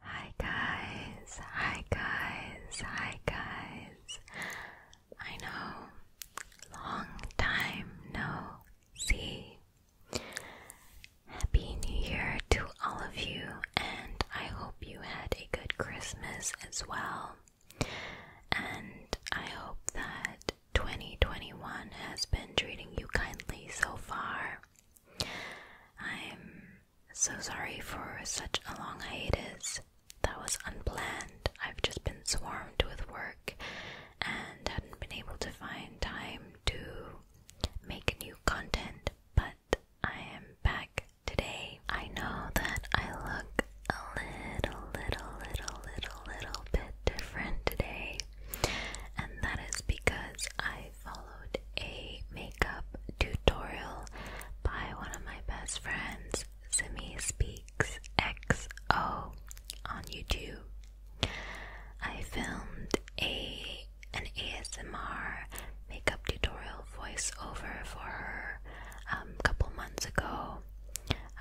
Hi guys, hi guys, hi guys. I know, long time no see. Happy New Year to all of you, and I hope you had a good Christmas as well. And I hope that 2021 has been treating you kindly so far. I'm so sorry for such a long hiatus. That was unplanned. I've just been swarmed with work and hadn't been able to find time to make new content, but I am back today. I know that I look a little, little, little, little, little bit different today, and that is because I I followed a makeup tutorial by one of my best friends, Simi Speaks XO, on YouTube. I filmed a an ASMR makeup tutorial voiceover for her a um, couple months ago.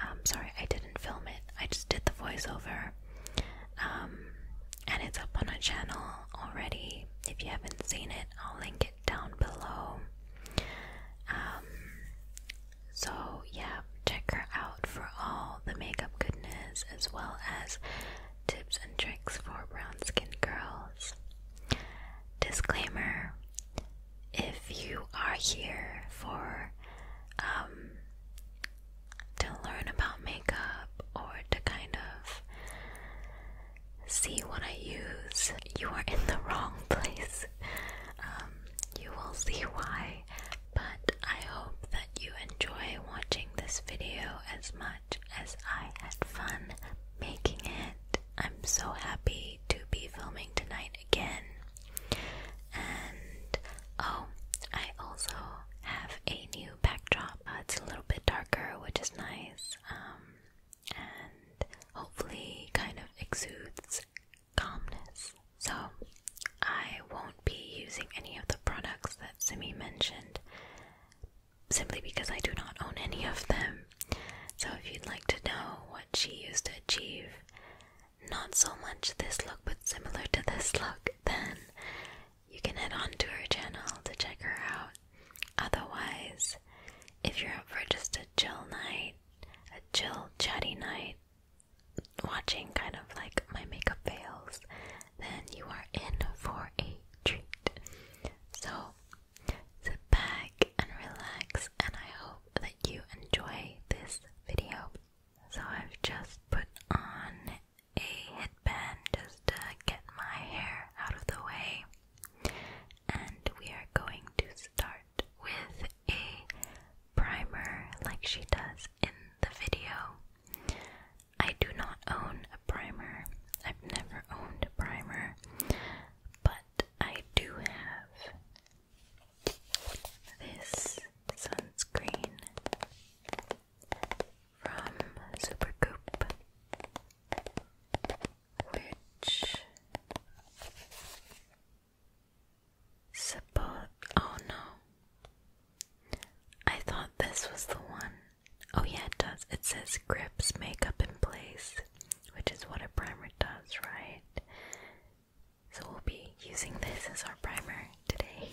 I'm um, sorry, I didn't film it. I just did the voiceover. Um, and it's up on a channel already. If you haven't seen it, I'll link it down below. Um, so, yeah, check her out for all the makeup goodness as well as tips and tricks for brown skinned girls. Disclaimer if you are here for um, to learn about makeup or to kind of see what I use, you are in the wrong place. Um, you will see why, but I hope that you enjoy watching this video as much as I had fun making it. I'm so happy to be filming tonight again. And oh, I also have a new backdrop. Uh, it's a little bit darker, which is nice, um, and hopefully kind of exudes calmness. So, I won't be using any of the products that Simi mentioned simply because I do not own any of them. So, if you'd like to know what she used to achieve, not so much this look, but similar to this look, then you can head on to her channel to check her out. Otherwise, if you're up for just a chill night, a chill chatty night, watching kind of like my makeup fails, then you are in for a treat. So sit back and relax, and I hope that you enjoy this video. So I've just put on a headband just to get my hair out of the way. And we are going to start with a primer like she does in the video. I do not own a primer. I've never owned a primer. But I do have this sunscreen from Supercoop, which support. Oh no, I thought this was the one. Oh yeah, it does. It says grips makeup in place, which is what a primer does, right? So we'll be using this as our primer today.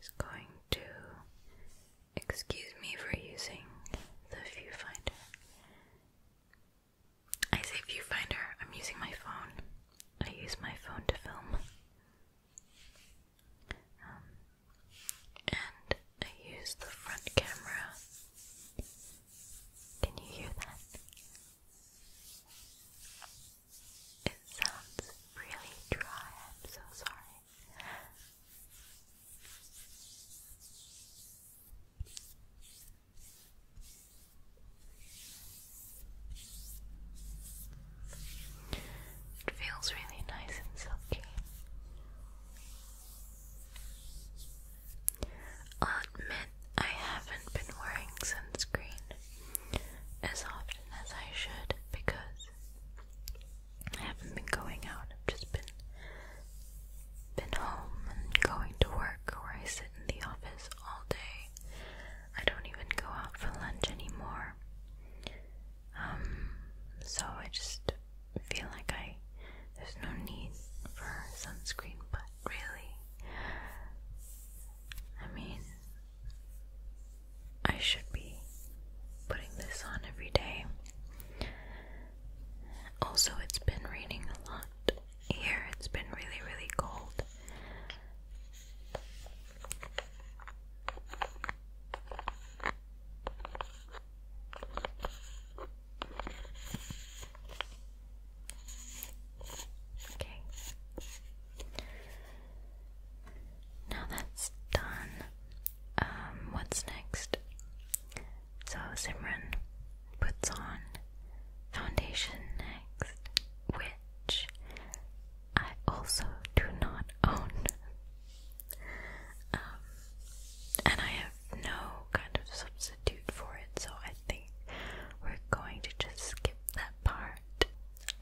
Just going to excuse me for using the viewfinder. I say viewfinder, I'm using my phone. I use my phone to film. Um, and I use the front camera. Can you hear that? It sounds really dry, I'm so sorry. It feels really nice and silky. i admit I haven't been wearing sunscreen as often as I should because I haven't been going out. I've just been been home and going to work where I sit in the office all day I don't even go out for lunch anymore. Um, so I just feel like I there's no need for sunscreen, but really, I mean, I should be putting this on every day. Also, it's been raining a lot here, it's been really, really cold. Okay. Now that's done. Um, what's next? So Simran puts on foundation next with which I also do not own. Um, and I have no kind of substitute for it, so I think we're going to just skip that part.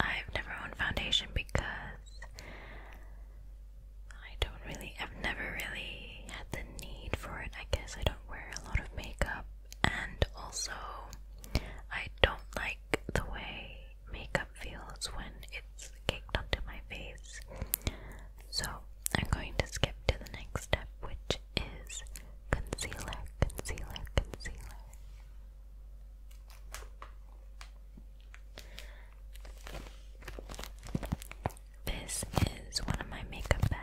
I've never owned foundation because I don't really, I've never really had the need for it. I guess I don't wear a lot of makeup and also I don't like the way makeup feels when it's caked onto my face. So I'm going to skip to the next step, which is concealer, concealer, concealer. This is one of my makeup bags.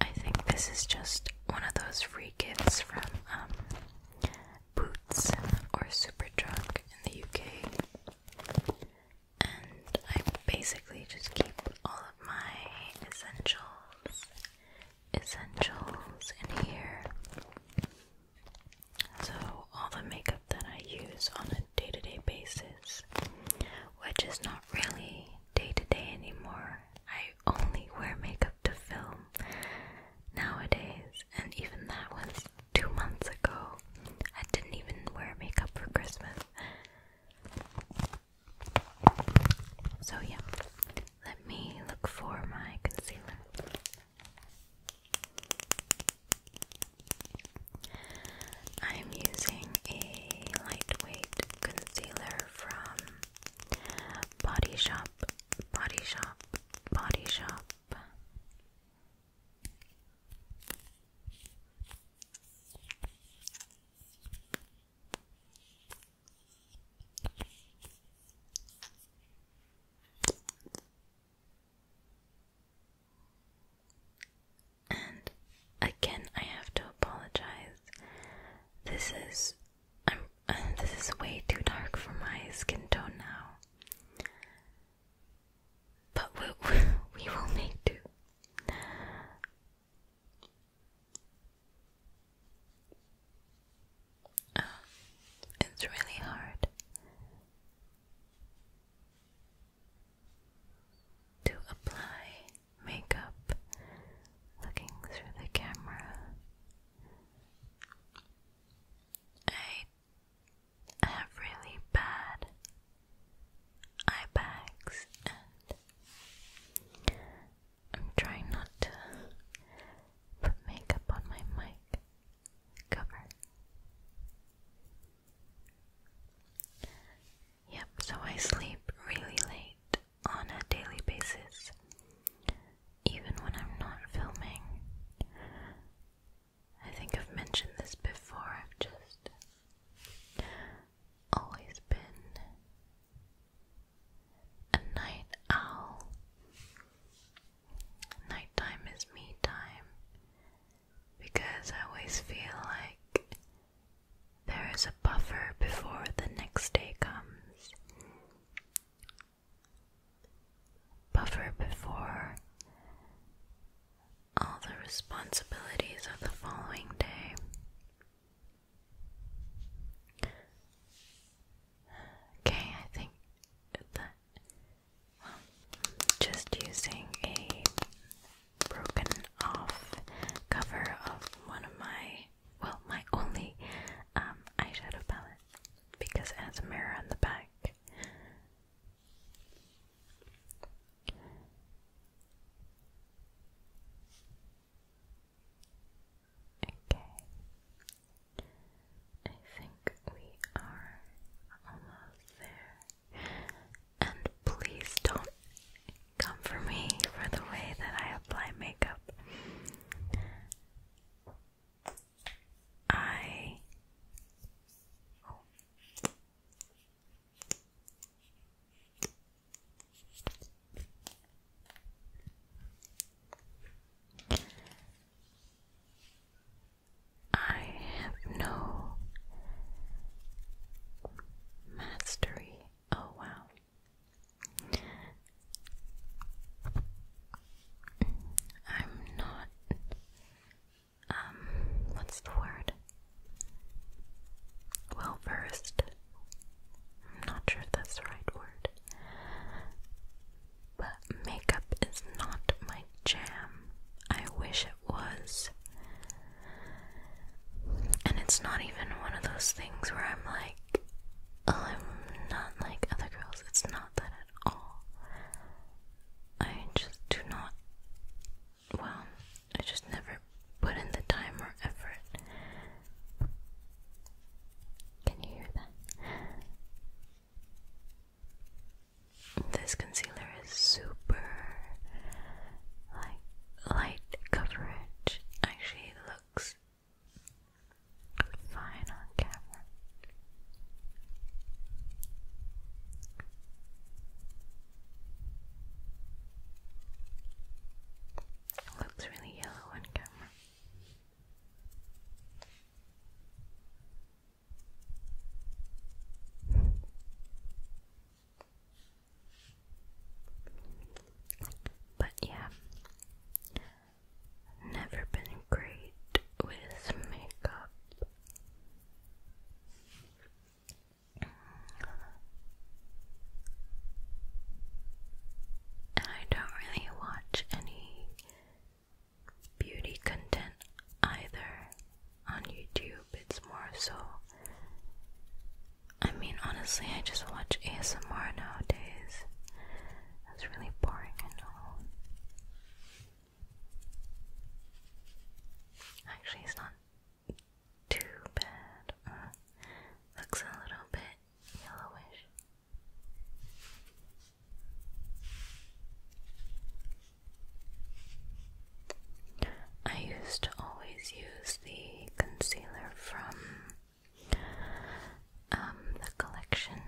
I think this is just one of those free gifts from um, Boots or Superdrug in the UK. And I basically just keep all of my essentials essentials in here. So, all the makeup that I use on a day to day basis, which is not really day to day anymore, I only wear makeup to film nowadays, and even that was two months ago. I didn't even wear makeup for Christmas. So, yeah, let me look for my concealer. I'm using a lightweight concealer from Body Shop, Body Shop, Body Shop. And again, I have to apologize. This is I'm, uh, this is way too dark for my skin tone now. But we, we, will make do. Uh, it's really hard to apply makeup looking through the camera. I have really bad eye bags, and I'm trying not to put makeup on my mic cover. Yep, so I sleep really late on a daily basis, even when I'm not filming. I think I've mentioned this before, I've just always been a night owl. Nighttime is me time, because I always feel like there is a buffer before the next day comes. Buffer before all the responsibilities of the following day. Okay, I think that just using a broken off cover of one of my, well, my only um, eyeshadow palette because it has a mirror on the back. Okay. I think we are almost there. And please don't come for me for the way that I apply makeup. I. I have no mastery. Oh, wow. I'm not. Um, what's the word? Well versed. I'm not sure if that's the right word. But makeup is not my jam. I wish it was. And it's not even one of those things where I'm like, oh, I'm not like other girls. It's not that at all. I just do not. Well, I just never put in the time or effort. Can you hear that? This concealer is super like light coverage. Actually, looks fine on camera. It looks really yellow on camera. But yeah, never been great with makeup. And I don't really watch any beauty content either on YouTube. It's more so. I mean, honestly, I just watch ASMR nowadays. That's really boring, I know. Actually, it's not too bad. Uh, looks a little bit yellowish. I used to always use the concealer from um, the collection,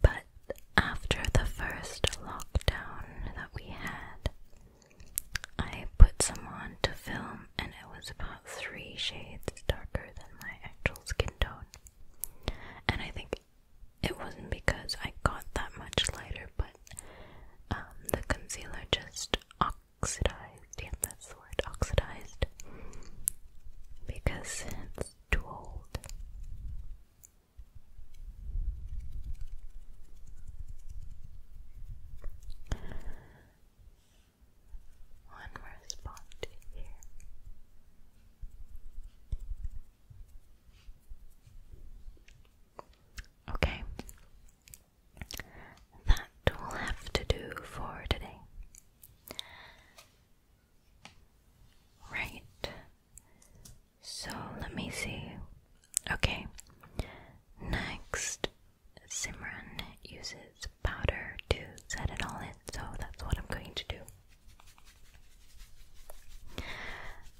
but after the first lockdown that we had, I put some on to film, and it was about three shades darker than my actual skin tone. And I think it wasn't because I got that much lighter, but um, the concealer just oxidized. Yeah, that's the word, oxidized. Because it's too old. One more spot here. Okay. That will have to do for today. Right. So let me see. Okay. Next, Simran uses powder to set it all in, so that's what I'm going to do.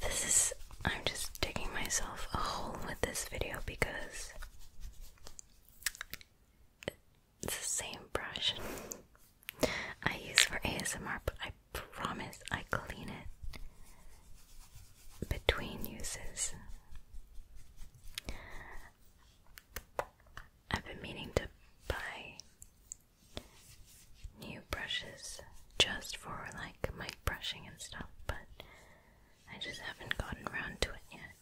This is. I'm just digging myself a hole with this video because it's the same brush I use for ASMR, but I promise I clean it between uses. I've been meaning to buy new brushes just for like my brushing and stuff, but I just haven't gotten around to it yet.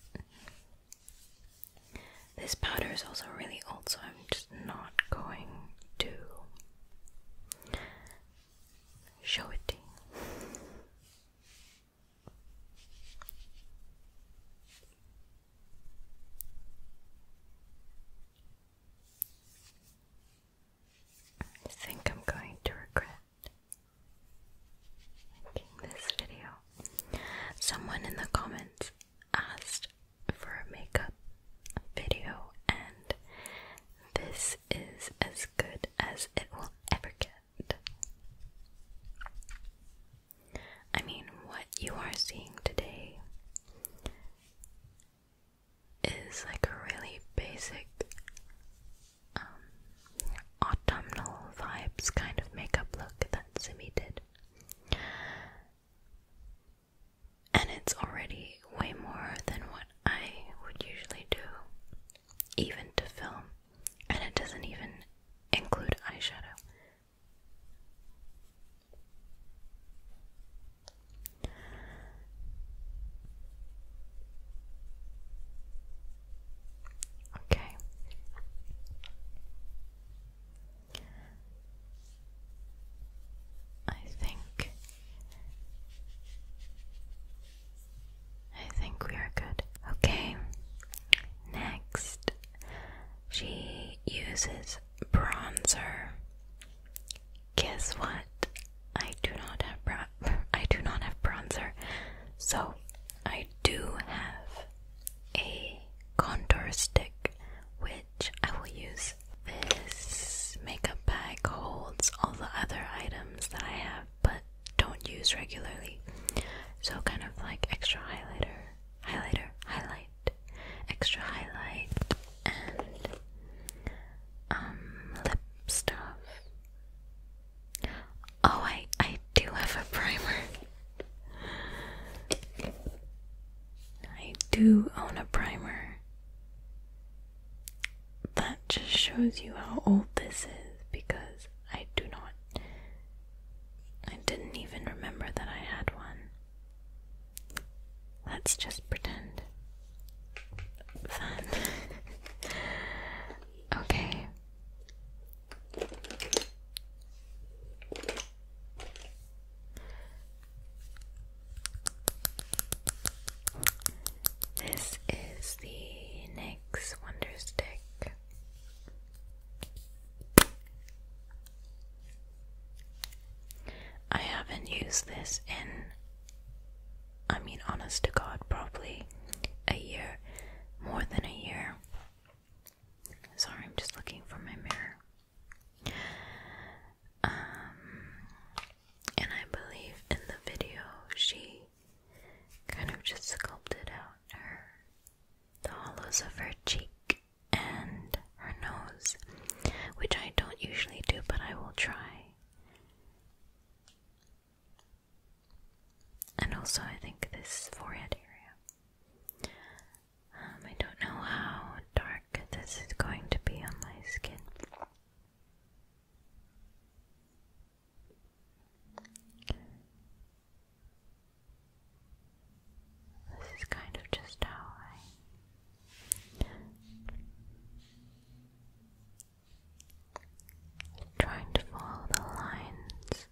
This powder is also really old, so I'm just not going to show it to you. I think I'm going to regret making this video. Someone in the comments asked for a makeup video, and this is as good as it will ever get. I mean, what you are seeing today is like a really basic um, autumnal vibes kind of makeup look that Simi did. And it's already way more than what I would usually do, even to film, and it doesn't even include eyeshadow. Okay. I think I think we are good. Okay. Next, she uses bronzer. Guess what? I do not have bra I do not have bronzer. So, I do have a contour stick which I will use. This makeup bag holds all the other items that I have but don't use regularly. So kind of like extra highlighter, highlighter, highlight extra highlight, and um lip stuff. Oh, I I do have a primer. I do own a primer. That just shows you how old this is because I do not I didn't even remember that I had one. Let's just pretend. Fun. okay. This is the NYX Wonder Stick. I haven't used this in, I mean, honest to God, probably a year, more than a year. Sorry, I'm just looking for my mirror. Um, and I believe in the video she kind of just sculpted out her the hollows of her cheek and her nose, which I don't usually do, but I will try. And also, I think this forehead area. Um, I don't know how dark this is going to be on my skin. This is kind of just how I trying to follow the lines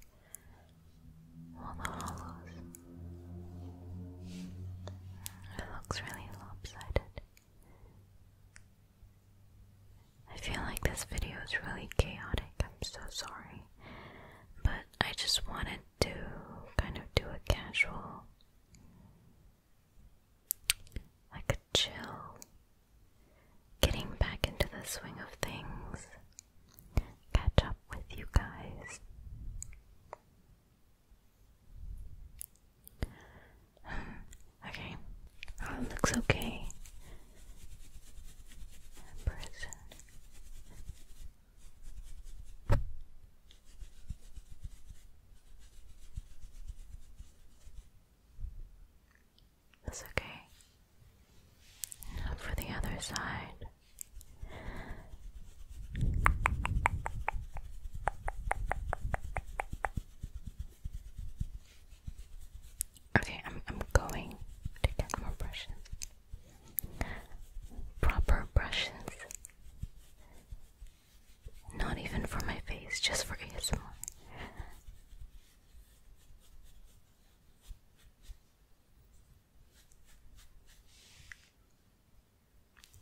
or the hollows. It looks really lopsided. I feel like this video is really chaotic. I'm so sorry. But I just wanted to kind of do a casual, like a chill, getting back into the swing of things, catch up with you guys. okay, oh, it looks okay. Person. That's okay. for the other side. Okay, I'm I'm going to get more brushes. Proper brushes. Not even for my face, just for ASMR.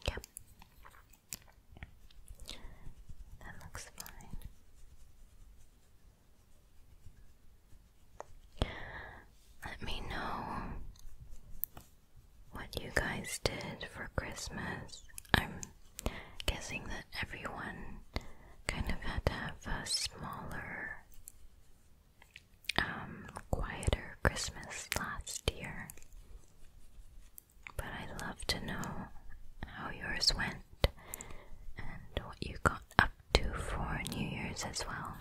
Yep. That looks fine. Let me know what you guys did for Christmas. I'm guessing that everyone kind of had a smaller, um, quieter Christmas last year. But I'd love to know how yours went and what you got up to for New Year's as well.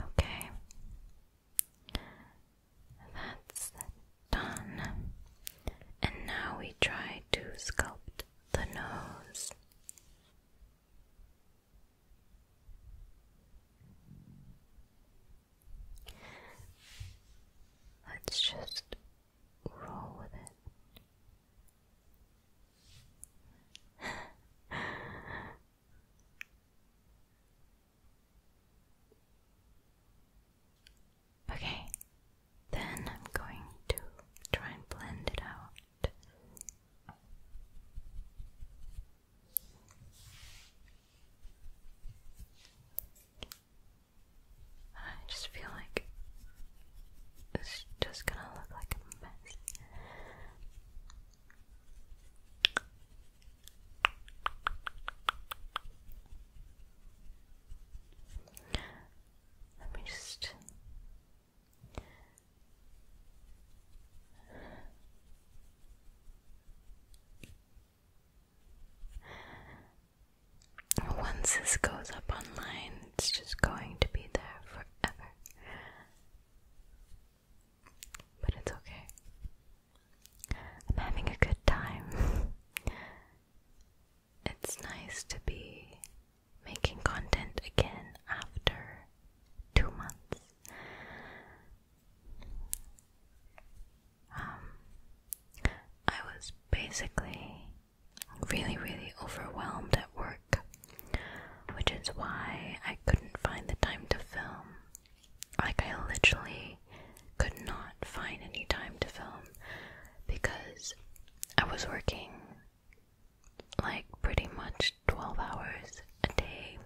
Okay, that's done. And now we try to sculpt the nose. Let's just roll with it okay, then I'm going to try and blend it out. I just feel like it's just gonna look like a mess. Let me once this goes up online, it's just going to be there forever. But it's okay. I'm having a good time. it's nice to be making content again after two months. Um, I was basically really, really overwhelmed at work, which is why I couldn't find the time to film. Like, I literally could not find any time to film because I was working like pretty much 12 hours a day,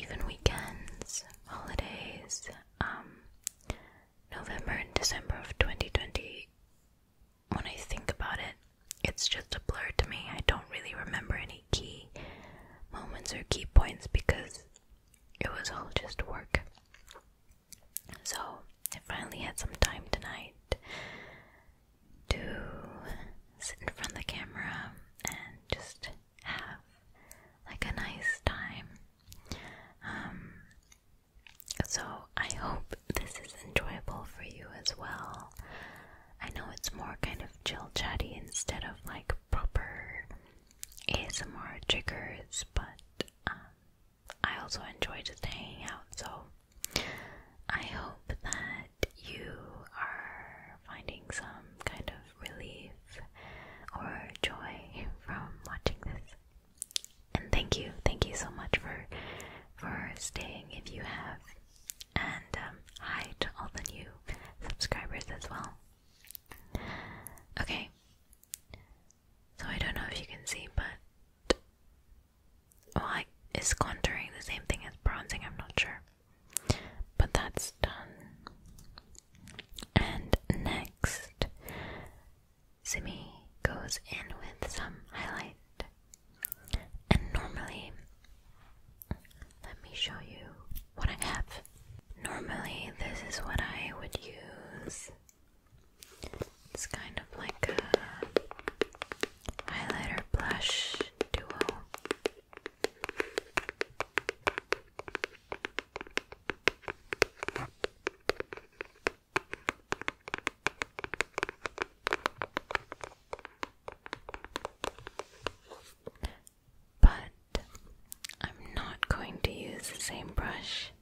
even weekends, holidays. Um, November and December of 2020 when I think about it, it's just a blur to me. I don't really remember any key moments or key points because it was all just work. So, I finally had some time tonight to sit in front of the camera and just have like a nice time. Um, so, I hope this is enjoyable for you as well. I know it's more kind of chill chatty instead of like proper ASMR triggers, but um, I also enjoy just hanging out. So, I hope that you are finding some kind of relief or joy from watching this and thank you, thank you so much for for staying if you have, and um, hi to all the new subscribers as well. Okay, so I don't know if you can see, but well, I, is contouring the same thing as bronzing? I'm not sure, but that's done. And next, Simi goes in with some highlight. And normally, let me show you what I have. Normally, this is what I would use. It's kind of like a highlighter blush duo. But I'm not going to use the same brush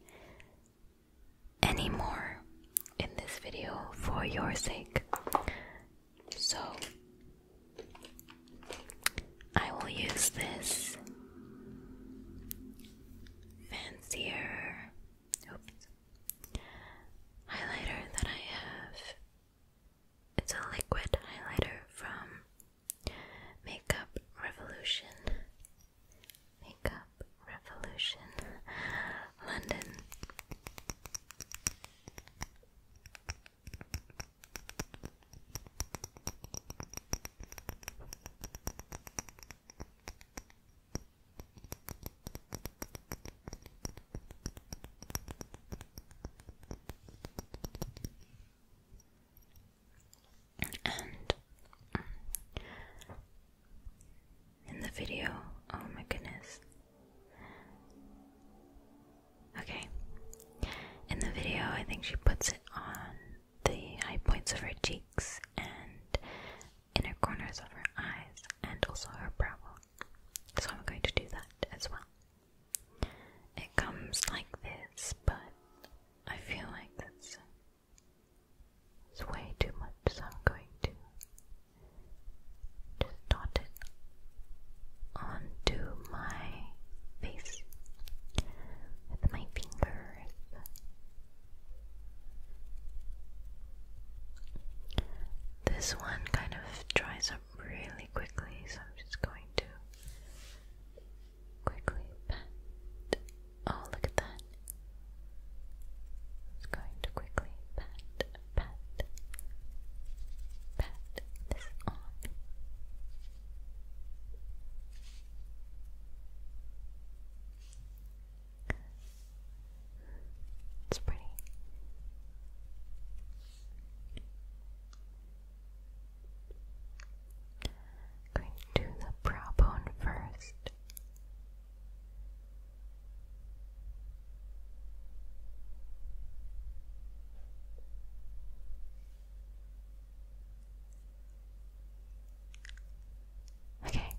anymore in this video for your sake. So I will use this fancier Highlighter that I have. It's a liquid highlighter from Makeup Revolution. Makeup Revolution. London. And mm, in the video, oh my goodness. Okay. In the video, I think she puts it on the high points of her cheeks and inner corners of her eyes and also her brow bone. So I'm going to do that as well. It comes like this, but I feel like that's it's way too much, so I'm going to just dot it onto my face with my fingers. This one kind of dries up really quickly, so I'm just going to quickly pat. Oh, look at that. It's going to quickly pat, pat, pat this on. It's pretty. Going to the brow bone first. Okay.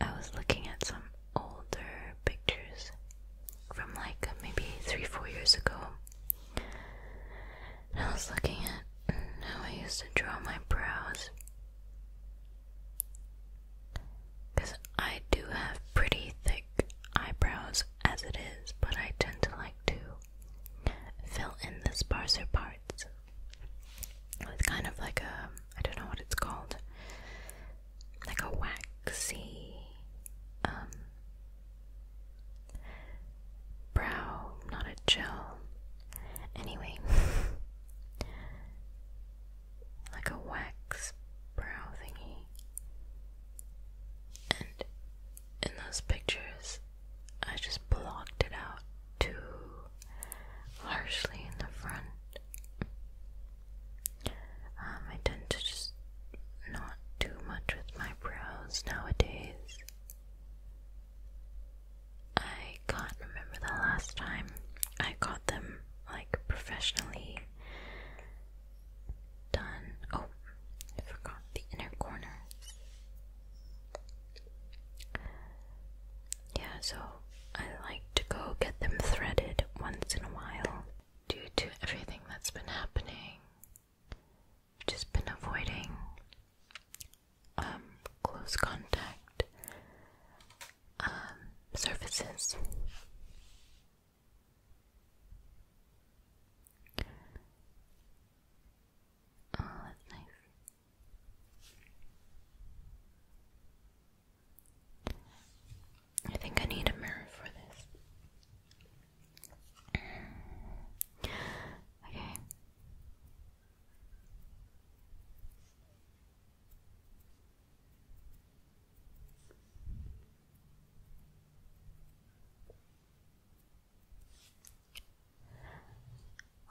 I was looking at some older pictures from like maybe three, four years ago. I was looking at how I used to draw my brows. Because I do have pretty thick eyebrows as it is, but I tend to like to fill in the sparser parts with kind of like a, I don't know what it's called, like a waxy um, brow, not a gel. Anyway, like a wax brow thingy. And in those pictures, I just blocked it out too harshly in the front. Um, I tend to just not do much with my brows nowadays. I can't remember the last time I got them like professionally done. Oh, I forgot the inner corners. Yeah, so I like to go get them threaded once in a while. Due to everything that's been happening, I've just been avoiding um, close contact um, surfaces. Oh, that's nice. I think I need a mirror for this. okay.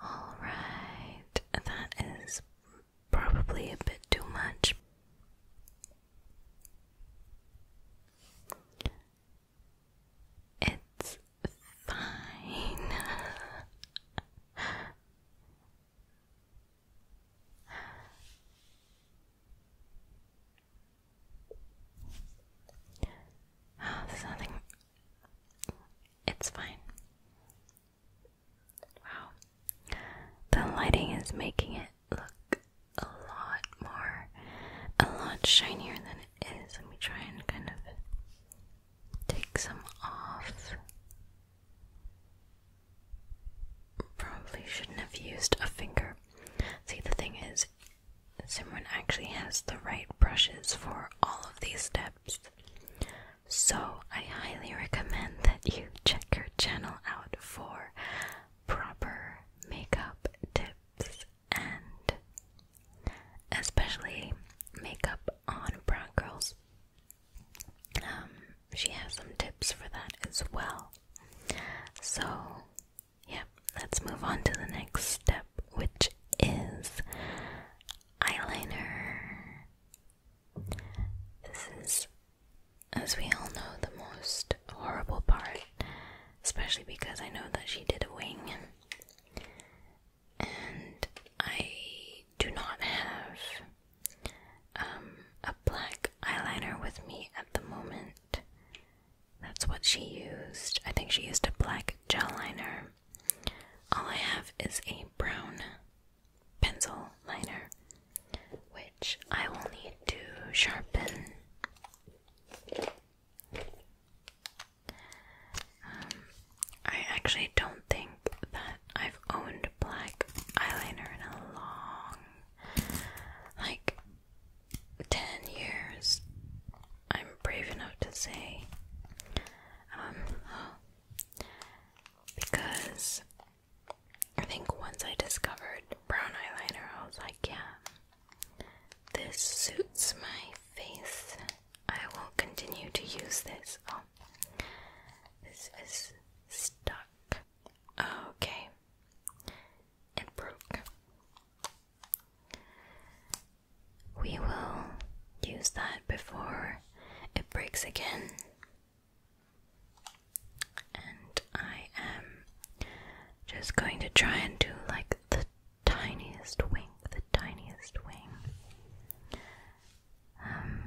Alright, that is probably a bit too much. It's fine. there's nothing. It's fine. Wow. The lighting is making it look a lot more, a lot shinier than it is. Let we try and kind of take some off. Probably shouldn't have used a finger. See, the thing is, that Simran actually has the right brushes for all of these steps. So I highly recommend that you check her channel out for proper makeup tips and especially makeup on brown girls. Um, she has some tips for that as well. So yeah, let's move on to the next step, which is eyeliner. This is, as we all know, the most horrible part, especially because I know that she did a wing. And I do not have um, a black eyeliner with me at the moment. That's what she used. I think she used a black gel liner. All I have is a brown pencil liner, which I will need to sharpen. Um, I actually don't think that I've owned black eyeliner in a long, like ten years, I'm brave enough to say, um, because I think once I discovered brown eyeliner, I was like, yeah, this suits my face. I will continue to use this. Oh, this is stuck. Okay it broke. We will use that before it breaks again. And I am just going to try and do like the tiniest wing, the tiniest wing. Um,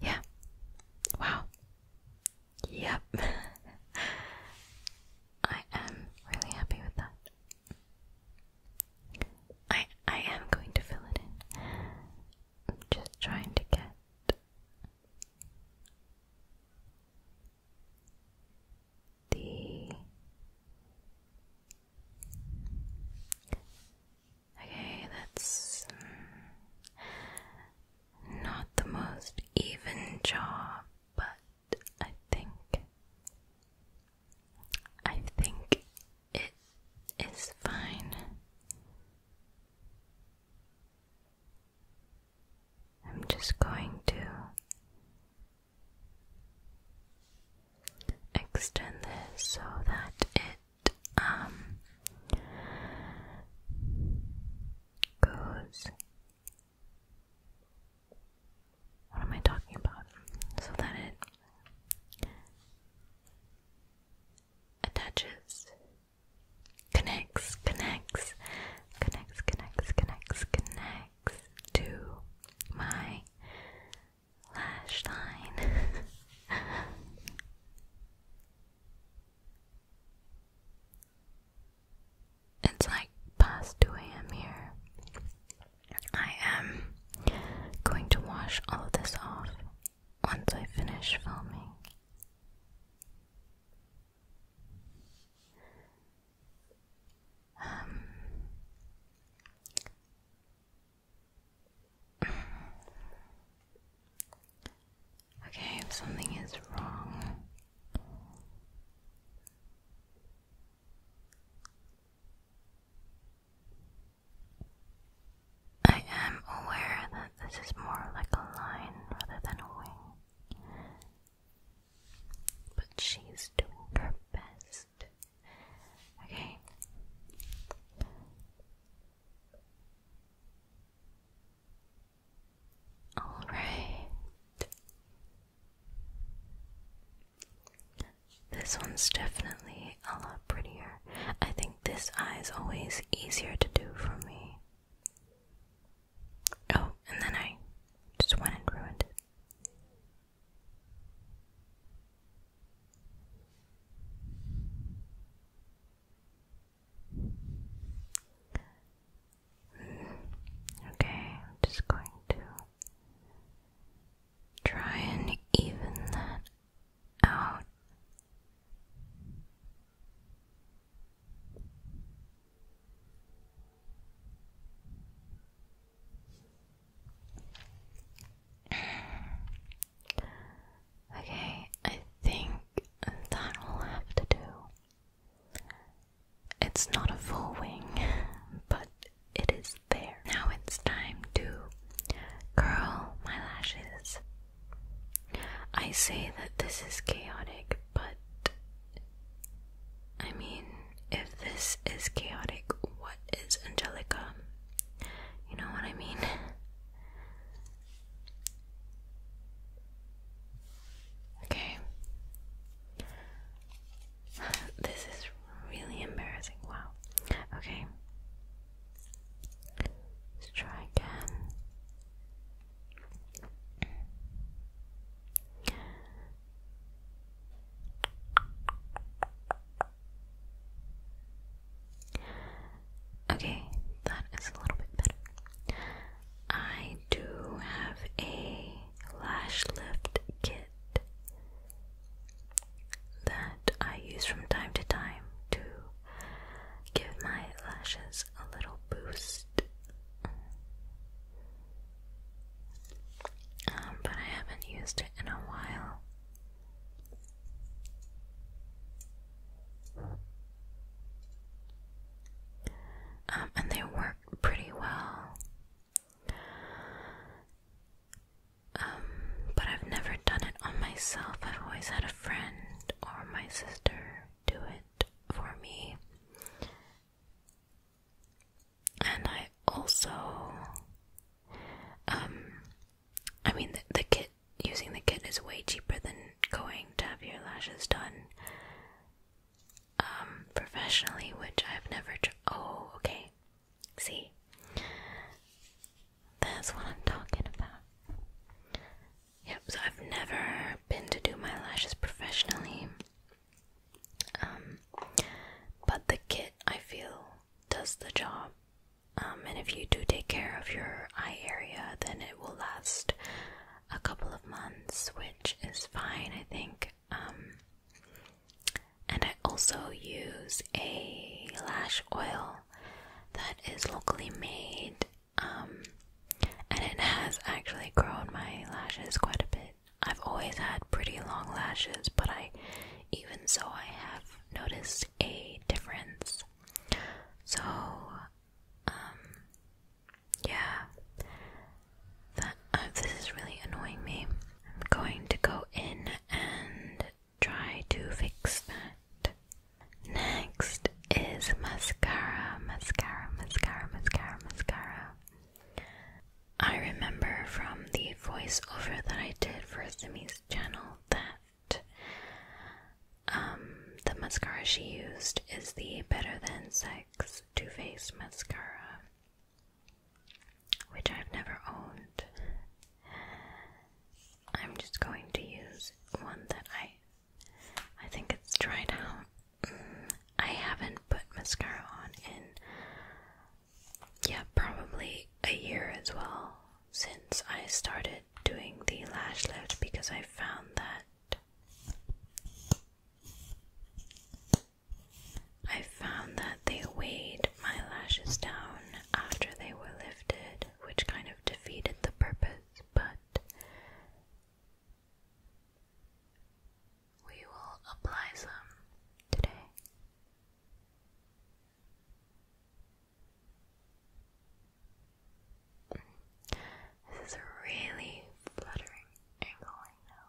yeah. Wow. Yep. I am really happy with that. I I am going to fill it in. just trying to get the Okay, that's uh, not the most even job, but I think I think it is fine. I'm just going to extend this so that it um goes what am I talking about? So that it attaches, connects, connects, connects, connects, connects, connects to my lash line. it's like past 2 a.m. here. I am going to wash all of this off once I finish filming. Um, Okay, if something is wrong, I am aware that this is more like a line rather than a wing, but she's doing her best. Okay. All right. This one's definitely a lot prettier. I think this eye is always easier to do for me. Oh, and then I just went and ruined it. Okay, I'm just going to try and even that out. Okay, I think that will have to do. It's not a full wing, but it is there. Now it's time to curl my lashes. I say that this is chaotic, but I mean, if this is chaotic, what is Angelica? You know what I mean? Okay. This is really embarrassing. Wow. Okay. Let's try again. Okay, that is a little bit better. I do have a lash lift kit that I use from time to time to give my lashes a little boost. Um, but I haven't used it in a while. Um, and they work pretty well. Um, but I've never done it on myself. I've always had a friend or my sister do it for me and I also, um, I mean, the, the kit using the kit is way cheaper than going to have your lashes done um, professionally, which I've never. Oh, okay. See, that's what I'm talking about. Yep, so I've never been to do my lashes professionally. Um, but the kit I feel does the job. Um, and if you do take care of your eye area, then it will last a couple of months, which is fine, I think. Um, and I also use a lash oil that is locally made, um, and it has actually grown my lashes quite a bit. I've always had pretty long lashes, but I even so I have noticed a difference. So um yeah. That uh, this is really annoying me. I'm going to go in and try to fix that. Next is mascara, mascara, mascara, mascara, mascara. I remember from the voiceover that I did for Simi's channel that um, the mascara she used is the Better Than Sex Too Faced mascara, which I've never owned. I'm just going to use one that I I think it's dried out. Mm, I haven't put mascara on in yeah, probably a year as well since I started doing the lash lift because I found that I found that they weighed my lashes down after they were lifted, which kind of defeated the purpose, but we will apply some today. This is really fluttering angle now.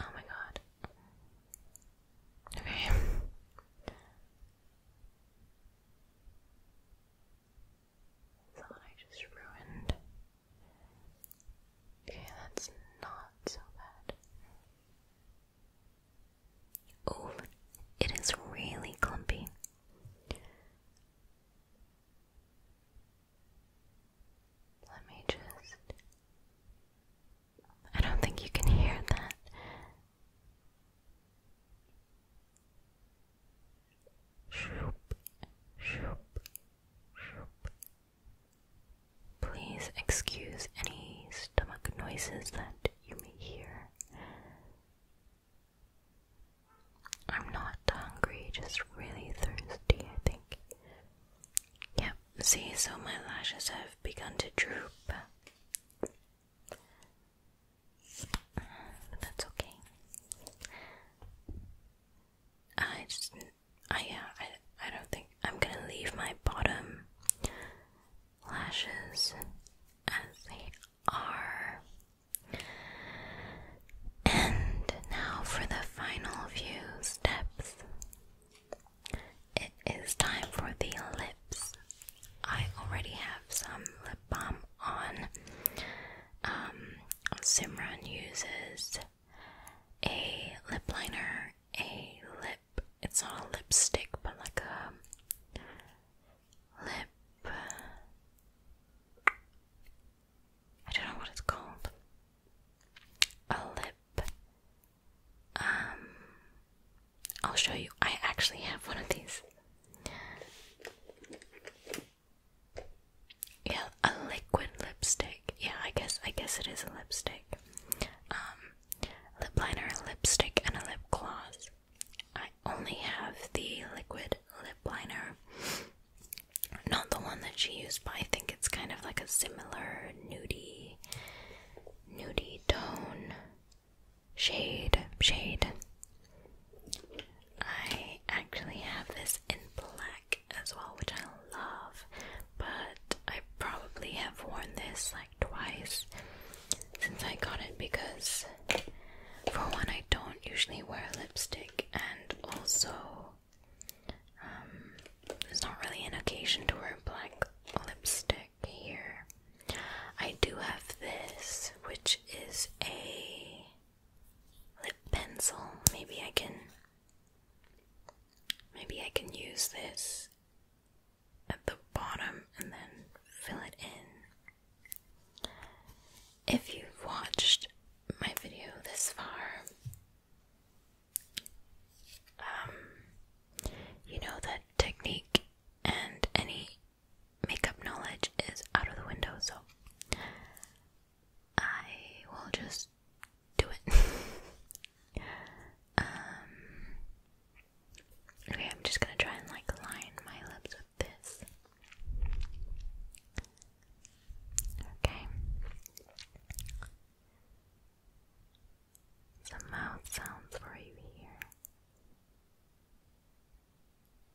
Oh my god. Okay. Thought I just ruined. Okay, that's not so bad. Oh, it is really clumpy. Let me just. I don't think you can hear that. Please excuse any stomach noises that you may hear. I'm not hungry, just really thirsty, I think. Yep, see, so my lashes have begun to droop that's okay. I I yeah, I I don't think I'm gonna leave my bottom lashes as they are. And now for the final few steps. It is time for the lips. I already have some lip on. Um, Simran uses a lip liner, a lip, it's not a lipstick, but like a lip. I don't know what it's called. A lip. Um, I'll show you. I actually have one of these. Yeah, a liquid lipstick. Yeah, I guess I guess it is a lipstick. Um, lip liner, a lipstick, and a lip gloss. I only have the liquid lip liner, not the one that she used, but I think it's kind of like a similar nudey, nudey tone. Shade, shade. I actually have this in black as well, which I love, but I probably have worn this like twice since I got it because, for one, I don't usually wear lipstick, and also, um, there's not really an occasion to wear black lipstick here. I do have this, which is a lip pencil. Maybe I can maybe I can use this at the bottom and then fill it in. If you've watched my video this far, um, you know that technique and any makeup knowledge is out of the window, so I will just do it. Um, okay, I'm just gonna try and like line my lips with this. Okay. Some mouth sounds for you here.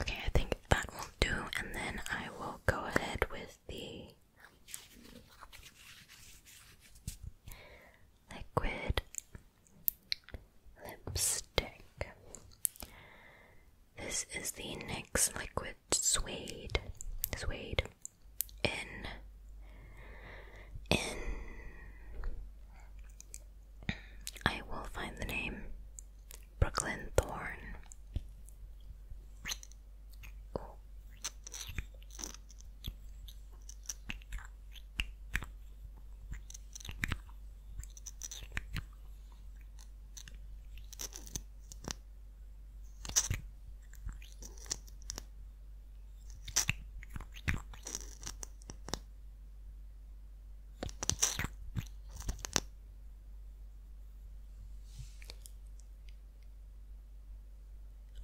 Okay, I think that will do, and then I will go ahead with the liquid lipstick. This is the NYX Liquid Suede. Suede. In. In. I will find the name Brooklyn Thorn.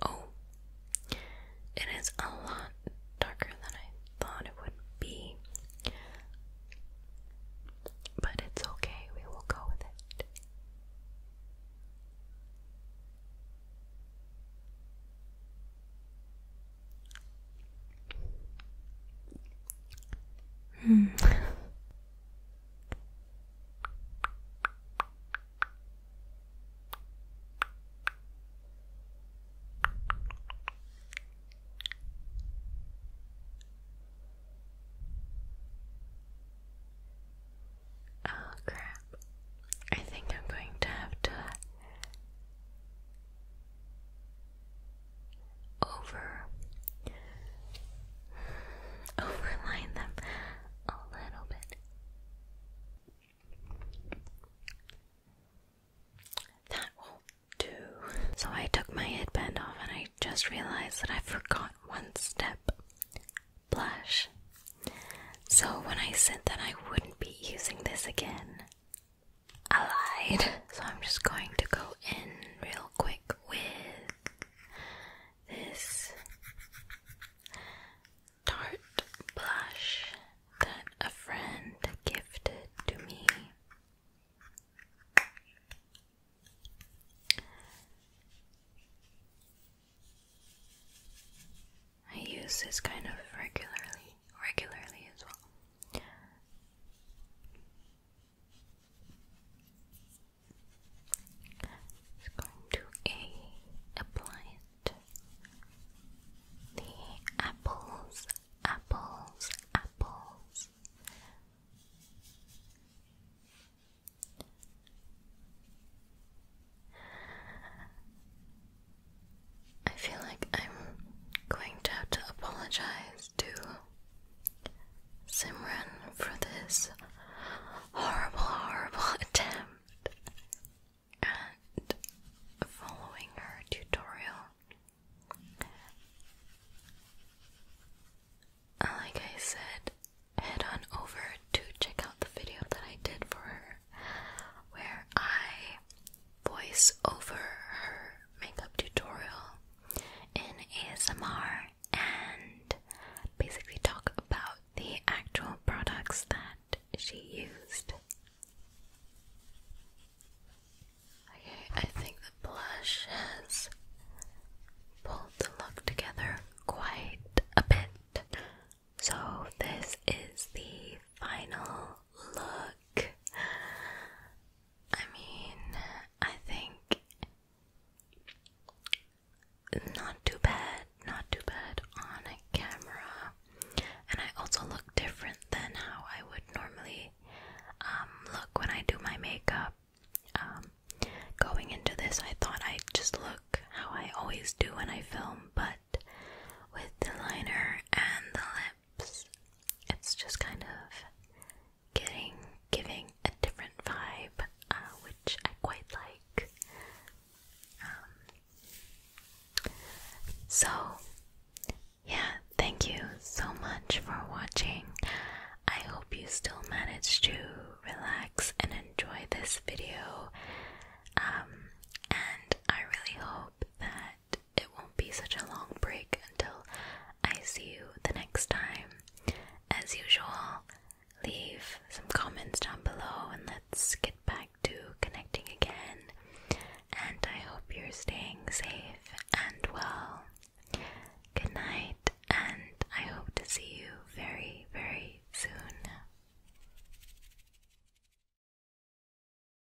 Oh, it is a lot darker than I thought it would be, but it's okay, we will go with it. Hmm. Oh crap. I think I'm going to have to over overline them a little bit. That will do. So I took my headband off and I just realized that I forgot one step blush. So when I said that I wouldn't be using this again, I lied. So I'm just going to go in real quick with this tart blush that a friend gifted to me. I use this kind of regularly regularly as well. It's going to a apply The apples, apples, apples. I feel like I'm going to have to apologize to Simran for this horrible, horrible attempt at following her tutorial. Like I said, head on over to check out the video that I did for her where I voice over her makeup tutorial in ASMR and basically talk about the actual products that she used. Okay, I think the blush has pulled the look together quite a bit. So, this is the final look. I mean, I think not too bad, not too bad on camera. And I also look different than how I would normally um, look when I do my makeup. Um, going into this, I thought I'd just look how I always do when I film, but with the liner and the lip it's just kind of getting giving a different vibe, uh, which I quite like. Um, so, yeah, thank you so much for watching. I hope you still managed to relax and enjoy this video. Um, and I really hope that it won't be such a long break until I see you the next time. As usual, leave some comments down below and let's get back to connecting again. And I hope you're staying safe and well. Good night, and I hope to see you very, very soon.